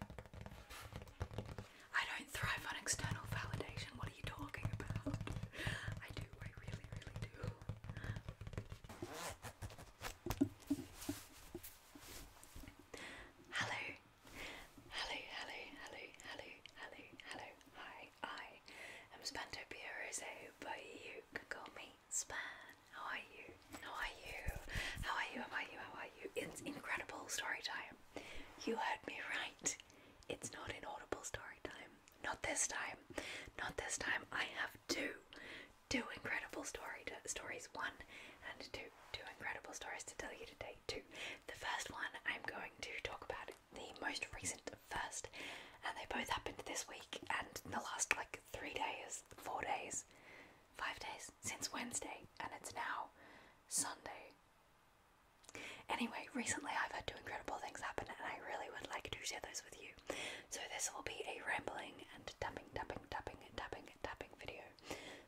I don't thrive on external validation. What are you talking about? I do, I really, really do. Hello. Hello, hello, hello, hello, hello, hello. Hi, I am Spantopia Rose, but you can call me Span. How are you? How are you? How are you? How are you? How are you? it's incredible story time. You heard me right. It's not an audible story time. Not this time. Not this time. I have two, two incredible story stories. One and two, two incredible stories to tell you today. Two. The first one I'm going to talk about the most recent first, and they both happened this week and the last like three days, four days, five days since Wednesday, and it's now Sunday. Anyway, recently I've had two incredible things happen and I really would like to share those with you. So this will be a rambling and tapping, tapping, tapping, tapping, tapping video.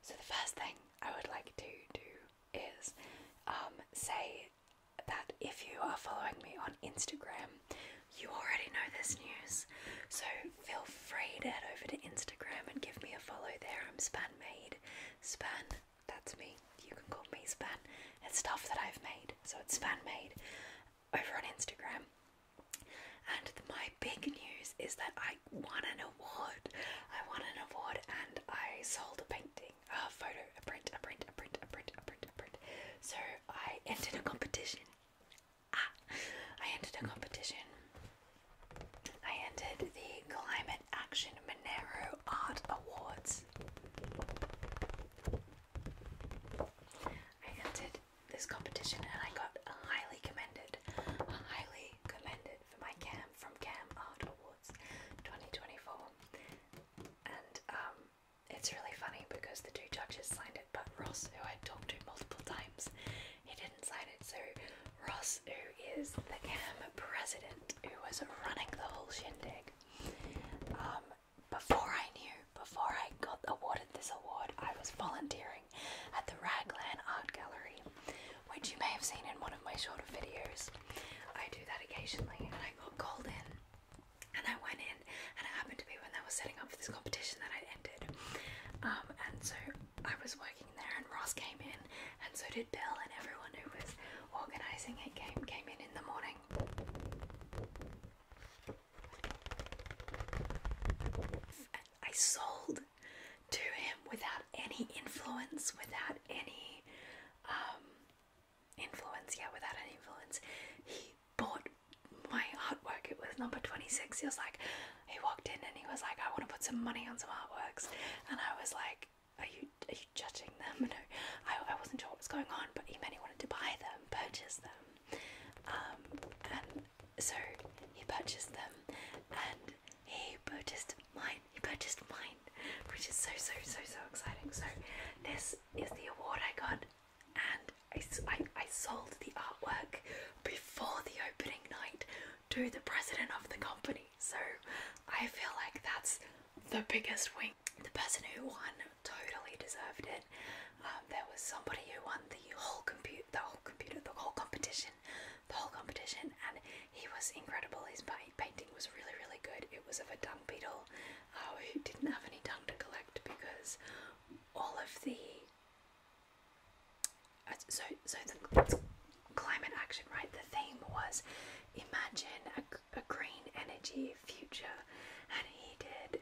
So the first thing I would like to do is um, say that if you are following me on Instagram, you already know this news. So feel free to head over to Instagram and give me a follow there. I'm SpanMade. Span, that's me. You can call me Span. It's stuff that I've made, so it's SpanMade over on Instagram. And my big news is that I won an award. I won an award and I sold a painting, a photo, a print, a print, a print, a print, a print, a print. So I entered a competition. Ah, I entered a competition I entered the Climate Action Monero Art Awards. I entered this competition and I got highly commended, highly commended for my CAM from CAM Art Awards 2024. And um, it's really funny because the two judges signed it, but Ross, who I talked to multiple times, he didn't. So Ross, who is the CAM president, who was running the whole shindig, um, before I knew, before I got awarded this award, I was volunteering at the Raglan Art Gallery, which you may have seen in one of my shorter videos. I do that occasionally, and I got called in, and I went in, and it happened to be when they were setting up for this competition that I entered. Um, and so I was and Ross came in, and so did Bill, and everyone who was organising it came came in in the morning. I sold to him without any influence, without any um, influence. Yeah, without any influence, he bought my artwork. It was number twenty six. He was like, he walked in and he was like, I want to put some money on some artworks. And I was like, Are you are you judging them? No, I, I wasn't sure what was going on, but he meant he wanted to buy them, purchase them. Um, and so he purchased them and he purchased mine. He purchased mine, which is so, so, so, so exciting. So, this is the award I got, and I, I, I sold the artwork before the opening night to the president of the company. So I feel like that's the biggest win. The person who won totally deserved it. Um, there was somebody who won the whole compute, the whole computer, the whole competition, the whole competition, and he was incredible. His painting was really, really good. It was of a dung beetle uh, who didn't have any dung to collect because all of the so so the climate action right the theme was imagine a, a green energy future and he did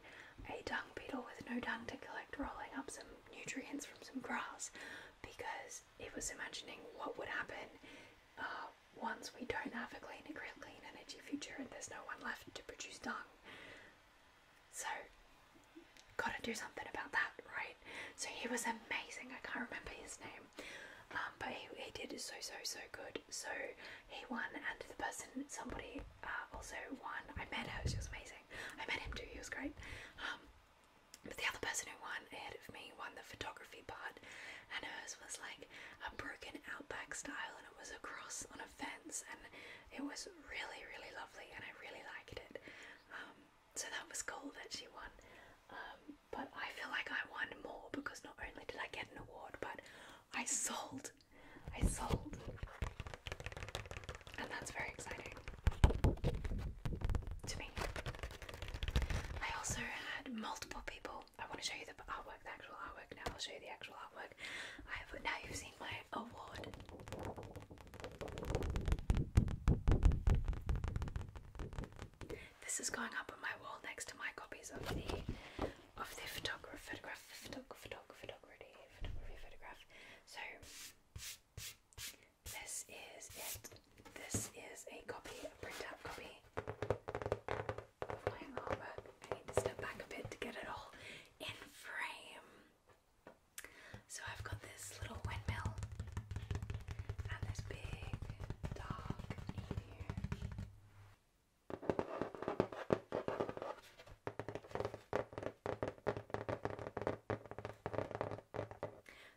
a dung beetle with no dung to collect rolling up some nutrients from some grass because it was imagining what would happen uh, once we don't have a clean a clean energy future and there's no one left to produce dung so Gotta do something about that, right? So he was amazing. I can't remember his name, um, but he, did so so so good. So he won, and the person, somebody uh, also won. I met her; she was amazing. I met him too; he was great. Um, but the other person who won ahead of me won the photography part, and hers was like a broken outback style, and it was a cross on a fence, and it was really, really lovely, and I really liked it. Um, so that was cool that she won. Um, but I feel like I won more because not only did I get an award, but I sold. I sold. And that's very exciting to me. I also had multiple people. I want to show you the artwork, the actual artwork. Now I'll show you the actual artwork. I have now you've seen my award this is going up on my wall next to my copies of the of the photograph photograph photograph photograph photography photography So this is it. This is a copy, a printout copy of my I need to step back a bit to get it all in frame. So I've got this little windmill and this big dog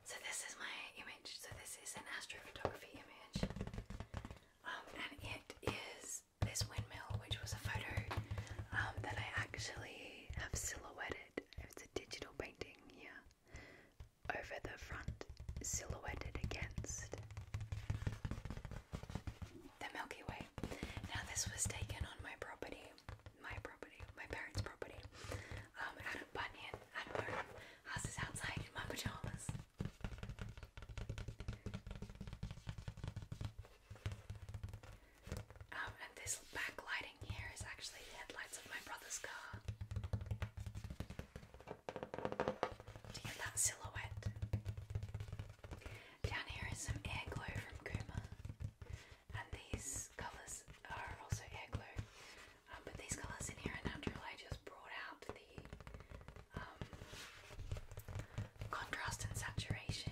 So this is my image. So this is an astrophotography image, um, and it is this windmill, which was a photo um, that I actually have silhouetted it's a digital painting here, over the front, silhouetted against the Milky Way. Now, this was taken on my property, my property, my parents' property, um, out of Bunyan, out of home. House is outside in my pajamas. Um, and this backlight here is actually the headlights of my brother's car. Do you that silhouette? Down here is some air from Kuma, and these colours are also air um, but these colours in here are natural. I just brought out the um, contrast and saturation.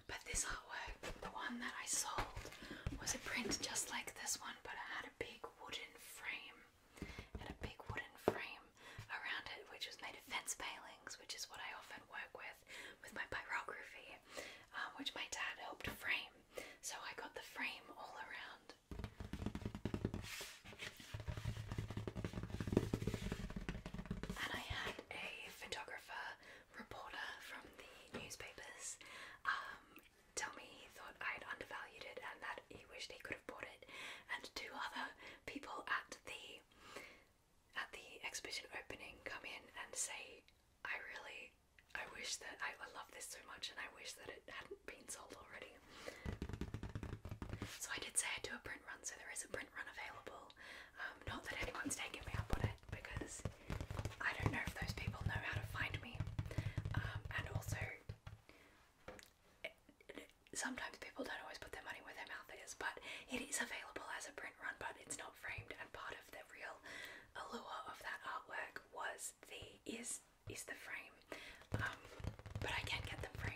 But this artwork, the one that I sold, was a print just like this one, but it had a big wooden frame. It had a big wooden frame around it, which was made of fence palings, which is what I often work with with my pyrography, um, which my dad helped frame. So I got the frame all around. And I had a photographer reporter from the newspapers um, um, tell me he thought I'd undervalued it and that he wished he could have bought it, and two other people at the at the exhibition opening come in and say, I really, I wish that, I, I love this so much and I wish that it hadn't been sold already. So I did say I'd do a print run, so there is a print run available. Um, not that anyone's taking me up on it, because I don't know if those people know how to find me. Um, and also, sometimes people don't always put their money where their mouth is, but it is available as a print run, but it's not framed. And part of the real allure of that artwork was the is is the frame. Um, but I can get them framed.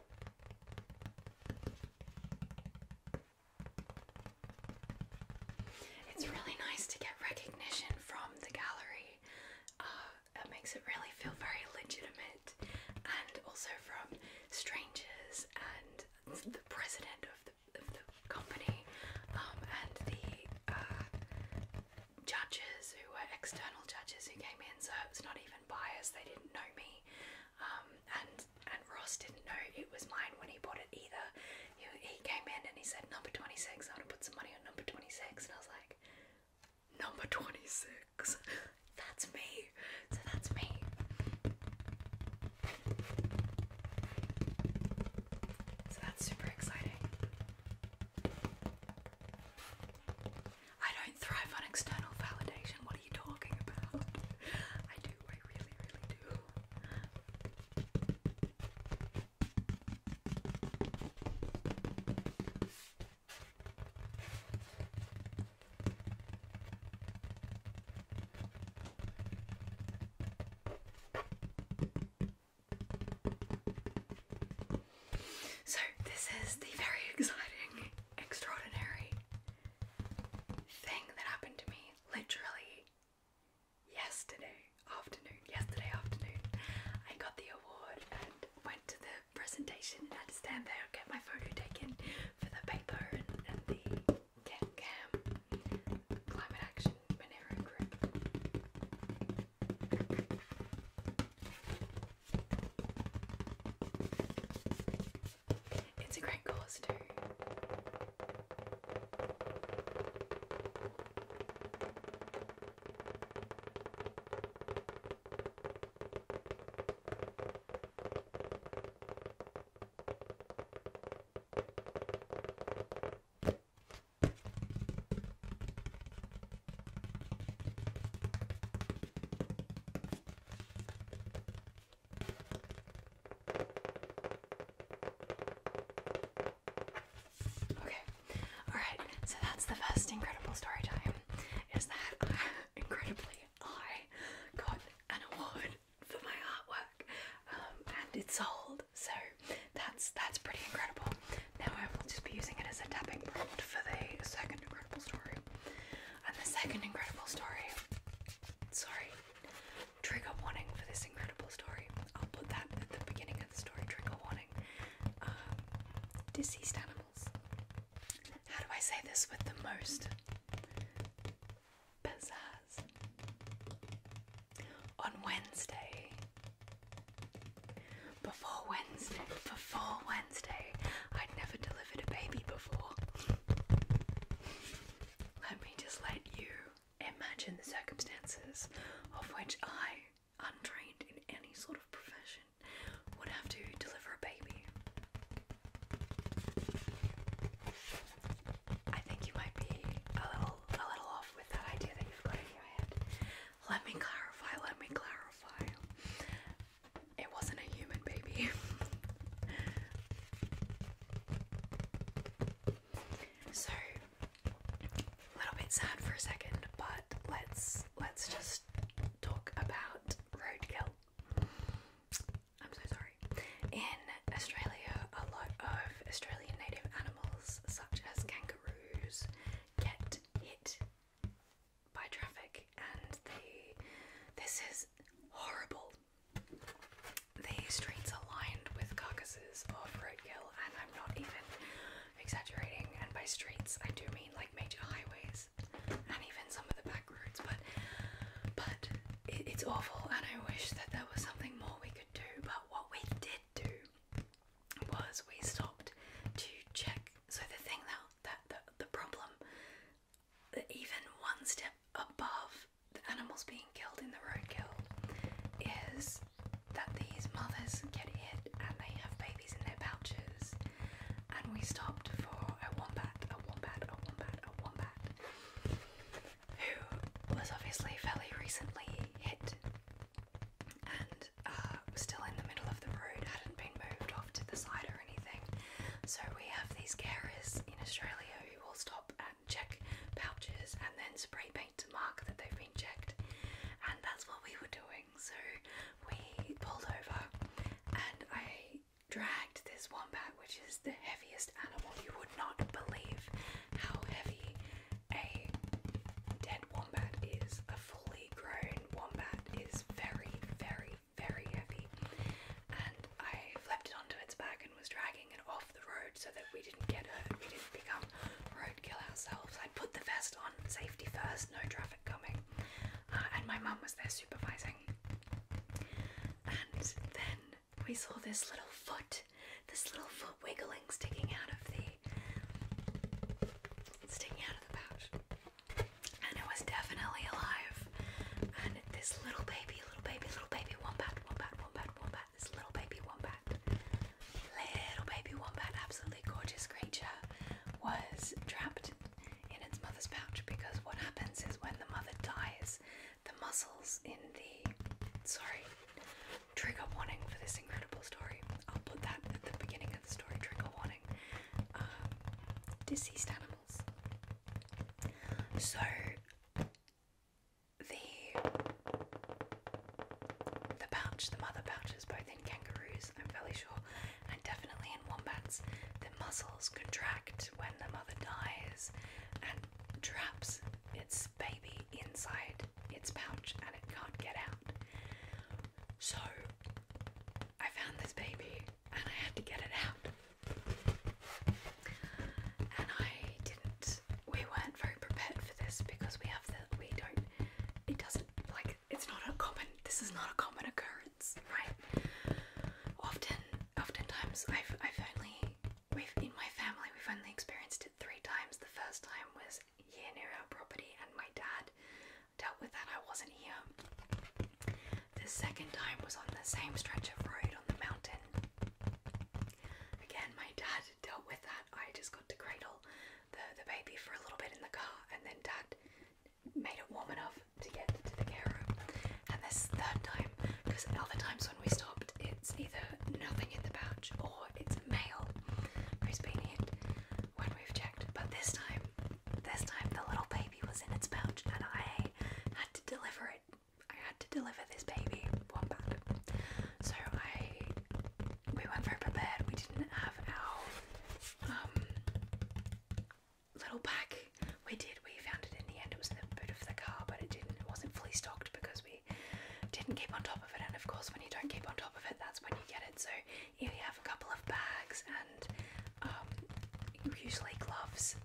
It's really nice to get recognition from the gallery. Uh, it makes it really feel very legitimate, and also from strangers and the president of the, company um, and the uh, judges who were external judges who came in, so it was not even biased. They didn't know me, um, and and Ross didn't know it was mine when he bought it either. He, came in and he said number twenty six. I want to put some money on number twenty six, and I was like, number twenty six. that's me. So that's me. So that's super exciting. I don't thrive on external validation. What are you talking about? I do, I really, really do. So, this is the very exciting, extraordinary thing that happened to me literally yesterday afternoon. Yesterday afternoon, I got the award and went to the presentation and had to stand there and get my photo taken for the paper and, the Cam Cam Climate Action Monero Group. It's a great cause too. Okay, alright, so that's the first incredible story time. Is that incredibly I got an award for my artwork um, and it's sold, so that's that's pretty incredible. Now I will just be using it as a tapping prompt for the second incredible story. And the second incredible story, sorry, trigger warning for this incredible story. I'll put that at the beginning of the story, trigger warning. Um, animals. How do I say this with the most pizzazz? On Wednesday, before Wednesday, before Wednesday, I'd never delivered a baby before. let me just let you imagine the circumstances of which I, untrained in any sort of profession, would have to deliver a baby. I think you might be a little a little off with that idea that you've got in your head. Let me clarify, let me clarify it wasn't a human baby. so a little bit sad for a second, but let's let's just talk about roadkill. I'm so sorry. In Australia, a lot of Australian native animals, such as kangaroos, get hit by traffic, and they this is horrible. The streets are lined with carcasses of roadkill, and I'm not even exaggerating. And by streets, I do mean like major highways and even some of the back roads. But but it's awful, and I wish that there was something more we could do. But what we did do was we stopped to check so the thing that that the, problem, that even one step above the animals being killed in the roadkill, is that these mothers get hit and they have babies in their pouches. And we stopped for a wombat, a wombat, a wombat, a wombat, who was obviously fairly recently hit. And it uh, still in the middle of the road, hadn't been moved off to the side or anything. So we have these carriers in Australia who will stop and check pouches and then spray paint to mark that they've been checked. And that's what we were doing. So we pulled over and I dragged this wombat, which is the heaviest animal. You would not believe how heavy a dead wombat is. A fully grown wombat is very, very, very heavy. And I flipped it onto its back and was dragging it off the road so that we didn't get hurt, we didn't become roadkill ourselves. I put the vest on, safety first, no traffic coming. Uh, and my mum was there supervising. And then we saw this little foot, this little foot wiggling, sticking out of the, sticking out of the pouch and it was definitely alive. And this little baby, little baby, little baby wombat, wombat, wombat, wombat, this little baby wombat, little baby wombat, absolutely gorgeous creature, was trapped in its mother's pouch because what happens is when the mother dies, the muscles in the sorry, trigger warning for this incredible story. I'll put that at the beginning the story, trigger warning. Um, deceased animals. So the the pouch, the mother pouch both in kangaroos, I'm fairly sure, and definitely in wombats. The muscles contract when the mother dies and traps its baby inside its pouch and it can't get out. So I found this baby and I had to get it out. And I didn't we weren't very prepared for this because we have the we don't it doesn't like it's not a common this is not a common occurrence, right? Often oftentimes I've I've only we've in my family we've only experienced it three times. The first time was here near our property and my dad dealt with that. I wasn't here. The second time was on the same stretch of road on the mountain. Again, my dad dealt with that. I just got to cradle the, the baby for a little bit in the car, and then dad made it warm enough to get to the car. And this third time, because other times when we stopped, it's either nothing in the pouch or it's mail who's been hit when we've checked. But this time, this time the little baby was in its pouch and I had to deliver it. I had to deliver this baby wombat. So I we weren't very prepared. We didn't have our um little pack. We did. We found it in the end. It was in the boot of the car, but it didn't. It wasn't fully stocked because we didn't keep on top of it. And of course, when you don't keep on top of it, that's when you get it. So you have a couple of bags and um, usually gloves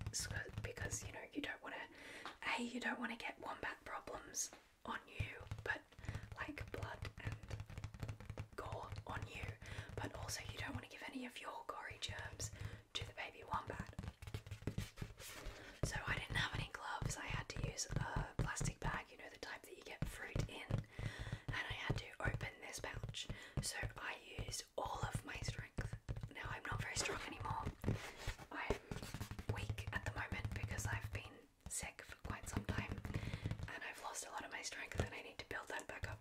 because you know you don't want to a you don't want to get wombat problems on you but like blood and gore on you but also you don't want to give any of your gory germs to the baby wombat so I didn't have any gloves I had to use a plastic bag you know the type that you get fruit in and I had to open this pouch. So I used all of my strength. Now I'm not very strong anymore. I'm weak at the moment because I've been sick for quite some time and I've lost a lot of my strength and I need to build that back up.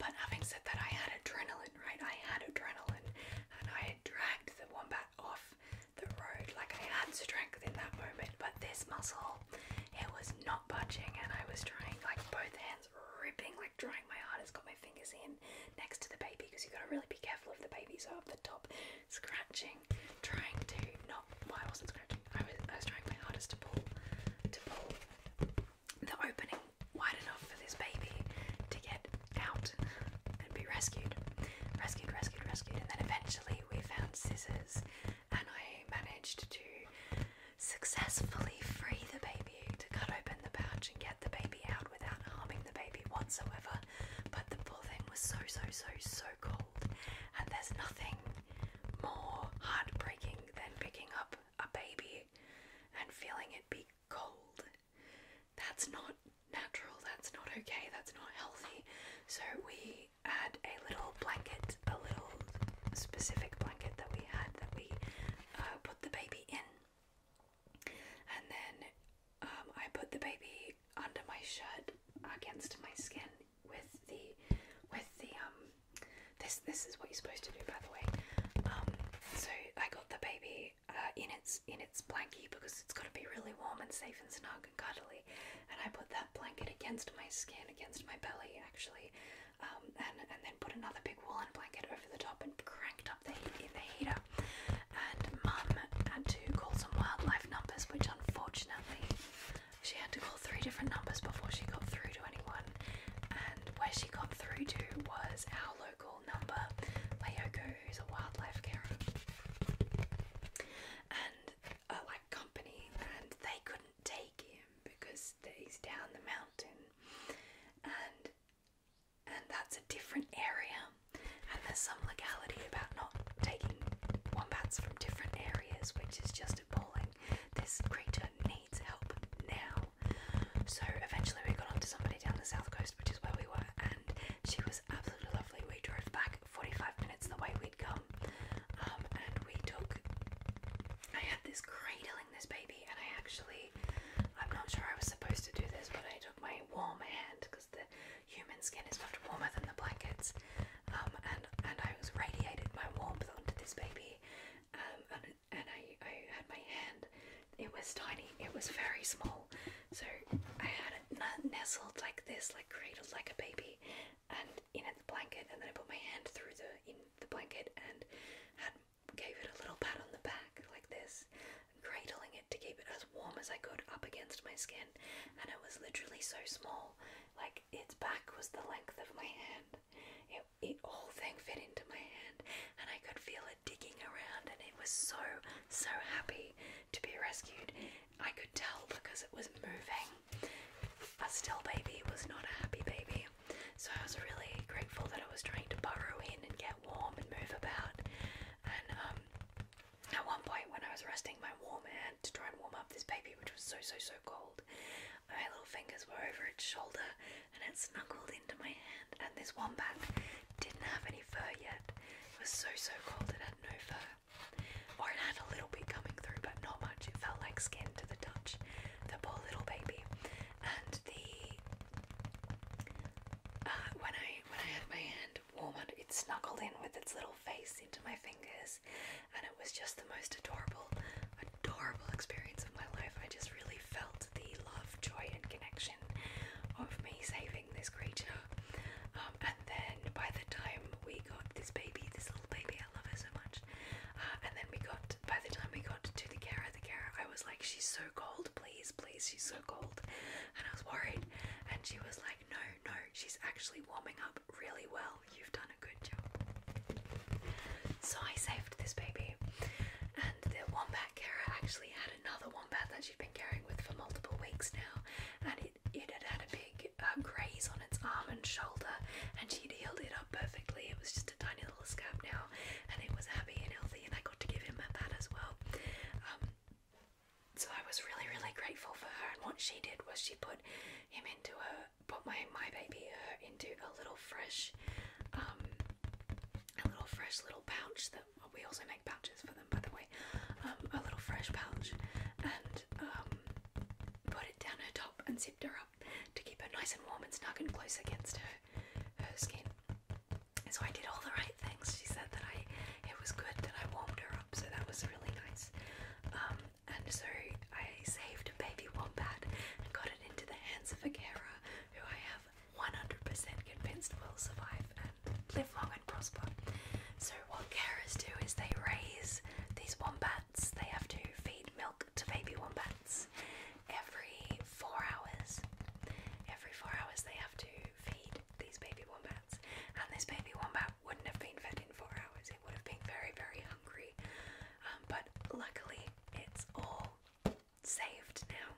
But having said that, I had adrenaline, right? I had adrenaline and I had dragged the wombat off the road. Like I had strength in that moment, but this muscle it was not budging, and I was trying like both hands ripping, like trying my hardest, got my fingers in next to the baby because you got to really be careful if the baby's up the top, scratching, trying to not. Why I wasn't scratching. I was, I was trying my hardest to pull, to pull the opening wide enough for this baby to get out and be rescued, rescued, rescued, rescued, and then eventually we found scissors, and I managed to successfully free the baby to cut open the pouch and get the baby out without harming the baby whatsoever. But the poor thing was so, so, so, so cold, and there's nothing more heartbreaking than picking up a baby and feeling it be cold. That's not natural, that's not okay, that's not healthy. So we we had a little blanket, a little specific blanket that we had that we uh, put the baby in. And then um, I put the baby under my shirt against my skin with the with the um this this is what you're supposed to do by the way. Um, so I got the baby uh, in its in its blankie because it's got to be really warm and safe and snug and cuddly. And I put that blanket against my skin, against my belly actually, um, and, and then put another big woolen blanket over the top and cranked up the heat in the heater. And mum had to call some wildlife numbers, which unfortunately she had to call three different numbers before she got through to anyone. And where she got through to was our local number, Leoko, who's a wildlife carer. And a uh, like company, and they couldn't take him because stays down the mountain and and that's a different area and there's some legality about not taking wombats from different areas which is just appalling. This creature needs help now. So eventually we got onto somebody down the south coast which is where we were and she was absolutely lovely. We drove back 45 minutes the way we'd come um, and we took, I had this cradling this baby, and I actually, I'm not sure I was supposed to do this, but I took my warm hand because the human skin is much warmer than the blankets, um, and and I was radiated my warmth onto this baby, um, and and I I had my hand, it was tiny, it was very small, so I had it nestled like this, like cradled like a baby, and in the blanket, and then I put my hand through the in the blanket and had gave it a little pat on the back like this, cradling it to keep it as warm as I could up against my skin, and it was literally so small, like its back was the length of my hand. It it whole thing fit into my hand, and I could feel it digging around, and it was so so happy to be rescued. I could tell because it was moving but still, baby was not a happy baby. So I was really grateful that I was trying to burrow in and get warm and move about. And um, at one point, when I was resting my warm hand to try and warm up this baby, which was so so so cold, my little fingers were over its shoulder and it snuggled into my hand. And this wombat didn't have any fur yet. It was so so cold it had no fur, or it had a little little coming through, but not much. It felt like skin to the touch. The poor little baby. And the uh, when I when I had my hand warm, it snuggled in with its little face into my fingers, and it was just the most adorable, adorable experience of my life. I just really felt the love, joy, and connection of me saving this creature. Um, and then by the time we got this baby, this little baby, I love her so much. Uh, and then we got, by the time we got to the Kara, the Kara, I was like, she's so cold, please, please, she's so cold. And I was worried. And she was like, no, no, she's actually warming up really well. You've done a good job. So I saved this baby. And the wombat Kara actually had another wombat that she'd been carrying with for multiple weeks now. And it, it had had a big a graze on its arm and shoulder, and she healed it up perfectly. It was just a tiny little scab now, and it was happy and healthy, and I got to give him that as well. Um, so I was really, really grateful for her. And what she did was she put him into her, put my my baby into a little fresh, um, a little fresh little pouch that we also make pouches for them, by the way. Um, a little fresh pouch, and put it down her top and zipped her to keep her nice and warm and snug and close against her her skin. So I did all the right things. She said that I it was good that I warmed her up, so that was really nice. Um, and so I saved a baby wombat and got it into the hands of a carer who I have 100% convinced will survive and live long and prosper. So what carers do is they raise these wombats. They have to feed milk to baby wombats every four hours. Every four hours, they have to feed these baby wombats, and this baby wombat wouldn't have been fed in four hours. It would have been very, very hungry. Um, but luckily, it's all saved now.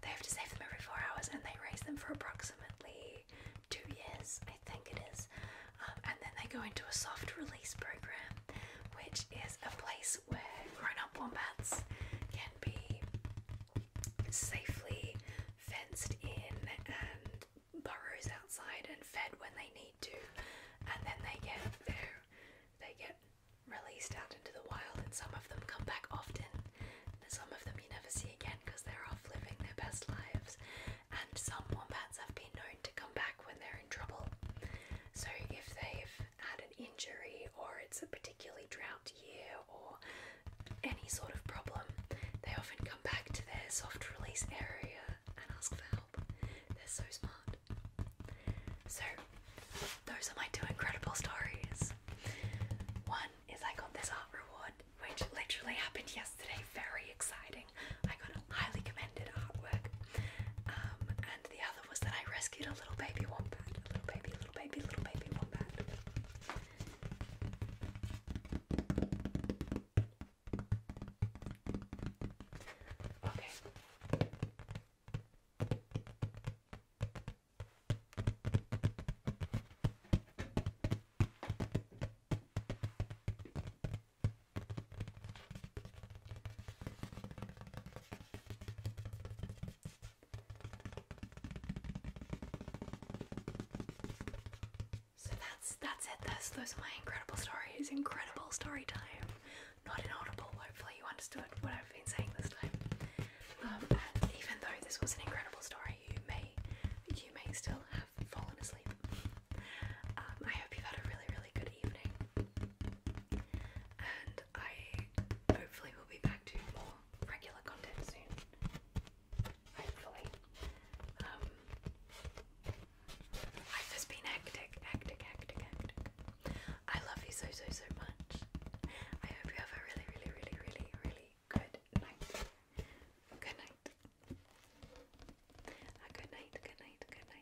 They have to save them every four hours, and they raise them for approximately two years, I think it is. Um, and then they go into a soft release program, which is a place where grown up wombats can be safely fenced in and burrows outside and fed when they need to. And then they get their they get released out into the wild and some of them come back often. Some of them you never see again because they're off living their best lives and some wombats have been known to come back when they're in trouble. So, if they've had an injury or it's a particularly drought year or any sort of problem, they often come back to their soft release area and ask for help. They're so smart. So, those are my two incredible stories. One is I got this art reward, which literally happened yesterday, very exciting. I got highly commended artwork. Um, and the other was that I rescued a little baby wombat. A little baby, little baby, little baby wombat. Okay. So that's that's it. This, those are my incredible stories. Incredible story time. Not inaudible. Hopefully you understood what I've been saying this time. Um, and even though this was an incredible story, you may you may still have fallen asleep um, I hope you had a really, really good evening, and I hopefully will be back to more regular content soon. Hopefully, life um, has been hectic, hectic, hectic, hectic. I love you so, so, so much. I hope you have a really, really, really, really, really good night. Good night. A good night, good night, good night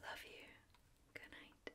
Love you. Good night.